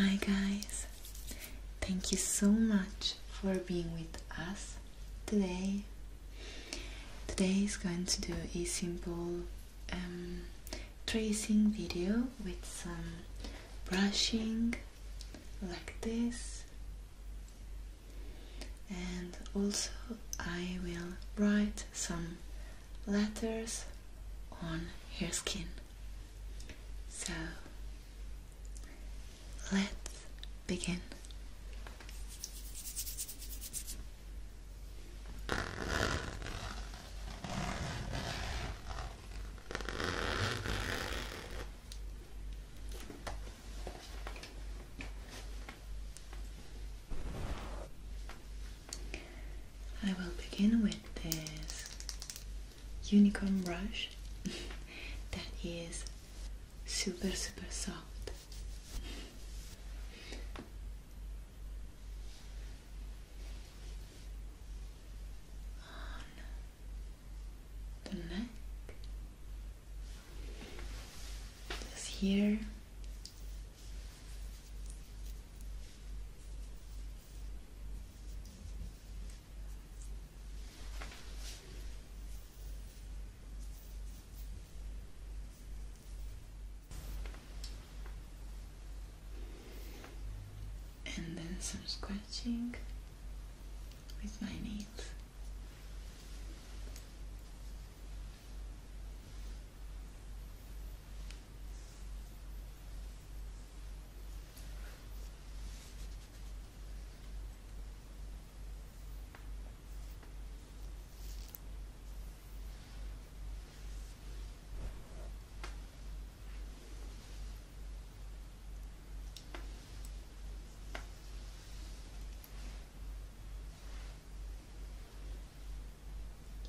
Hi guys, thank you so much for being with us today. Today is going to do a simple um, tracing video with some brushing like this and also I will write some letters on her skin so let's begin I will begin with this unicorn brush that is super super soft on the neck, this here and then some scratching with my nails.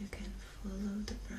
You can follow the brush.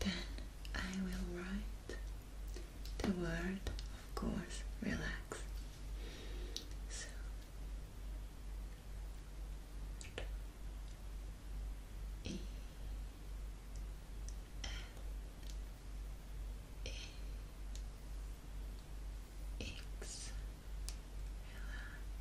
Then I will write the word, of course, relax. So E L E X, relax.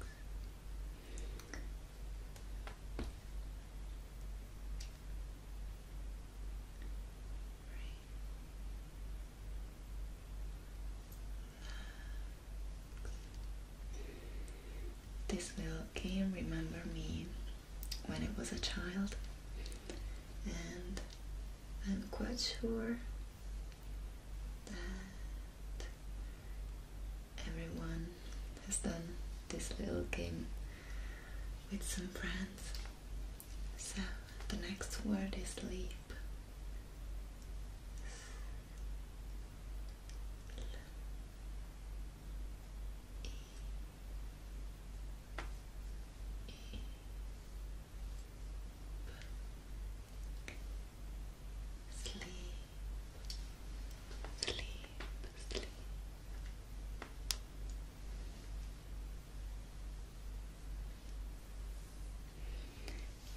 This little game remember me when it was a child and I'm quite sure that everyone has done this little game with some friends. So the next word is leap sleep, sleep, sleep.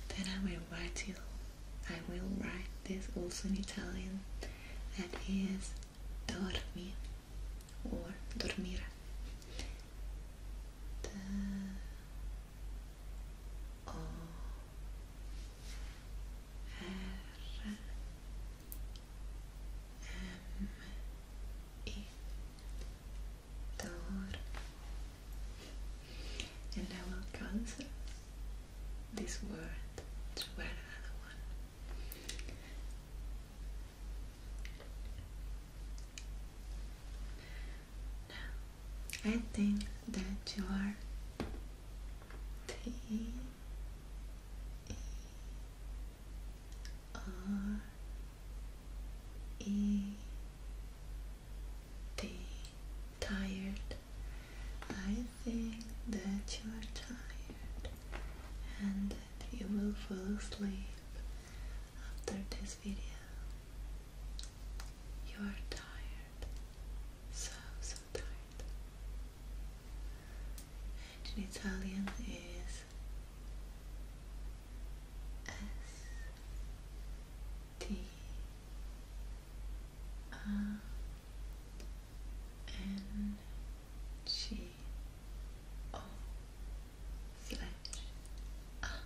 Then I will write you. I will write this also in Italian. That is dormi or dormire the and I will transfer this word to another one I think that you are tired. I think that you are tired and that you will fall asleep after this video. You are tired so, so tired. And Italian is S T R N G O slash R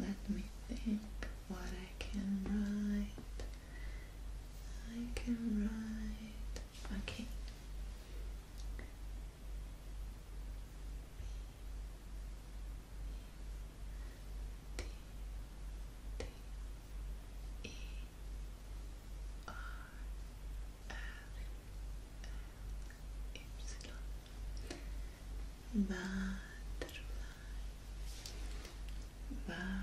Let me think what I can write. I can write. Okay. D, D, E, R, F, L, Y butterfly, butterfly.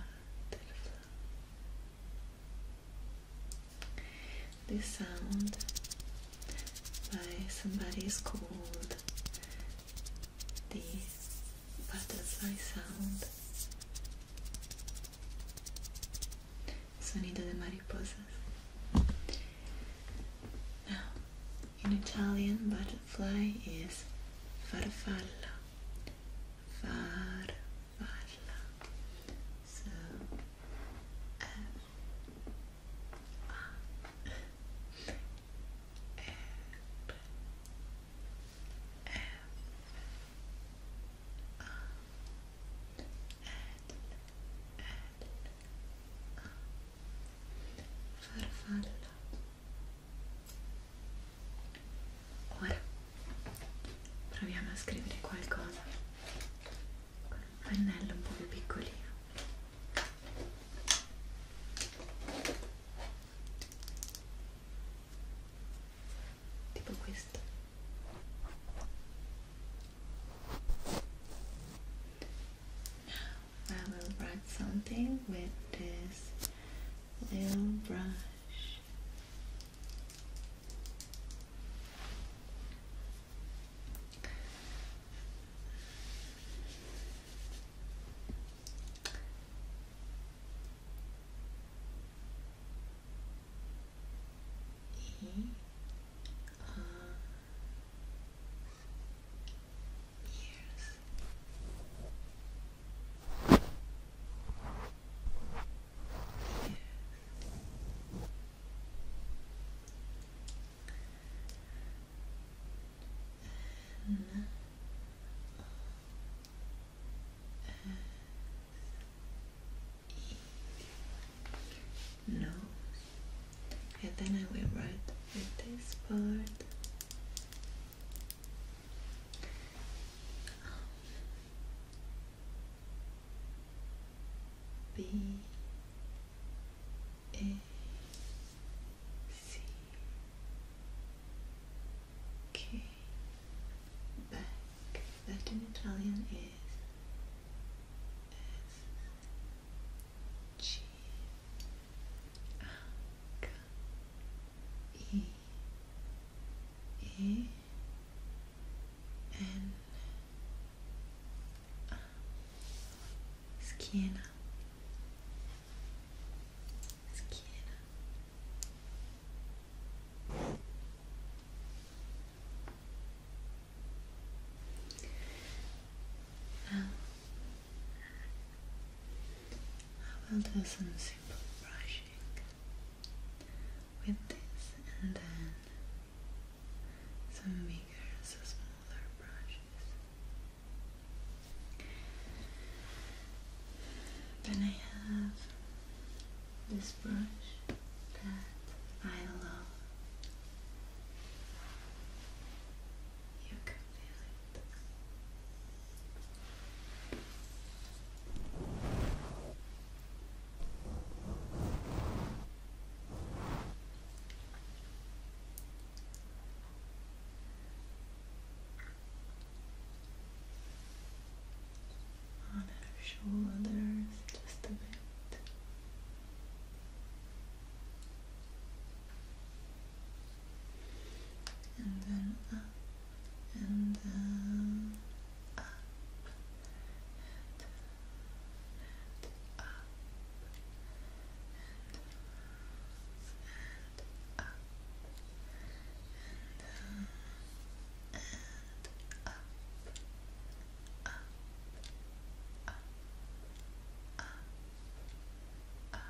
This sound by somebody is called the butterfly sound. Sonido de mariposas. In Italian, butterfly is farfalla. Farfalla. So, F -A -F -F -A -L -L farfalla ora proviamo a scrivere qualcosa con un pennello un po' più piccolino tipo questo Now I will write something with this little brush. E R Ears. Ears. nose and then I will write this part B A C K back that Italian is S G H E E N A schiena schiena now I will do some simple brushing with this and then some bigger, so smaller brushes. Then I have this brush that I love on her shoulders just a bit and then up and down, up and down, and up and up and down and up, up, up, up, up up, up and down,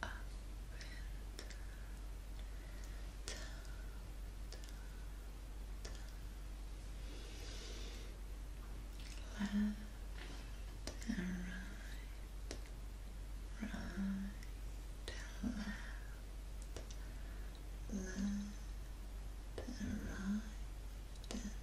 down, and right, right and left, left and right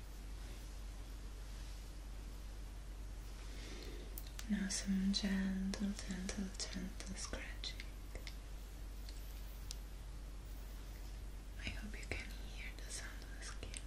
Now some gentle, gentle, gentle scratching. I hope you can hear the sound of the skin.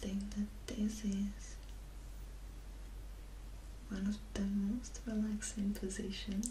I think that this is one of the most relaxing positions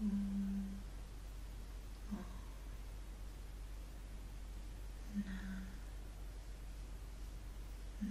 음, 어, 나, 너,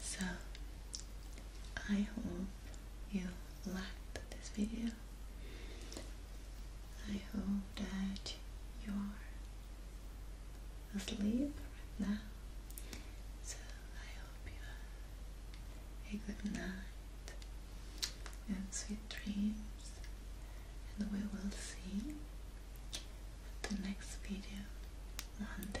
So I hope you liked this video. I hope that your asleep right now. So I hope you have a good night and sweet dreams. And we will see the next video Monday.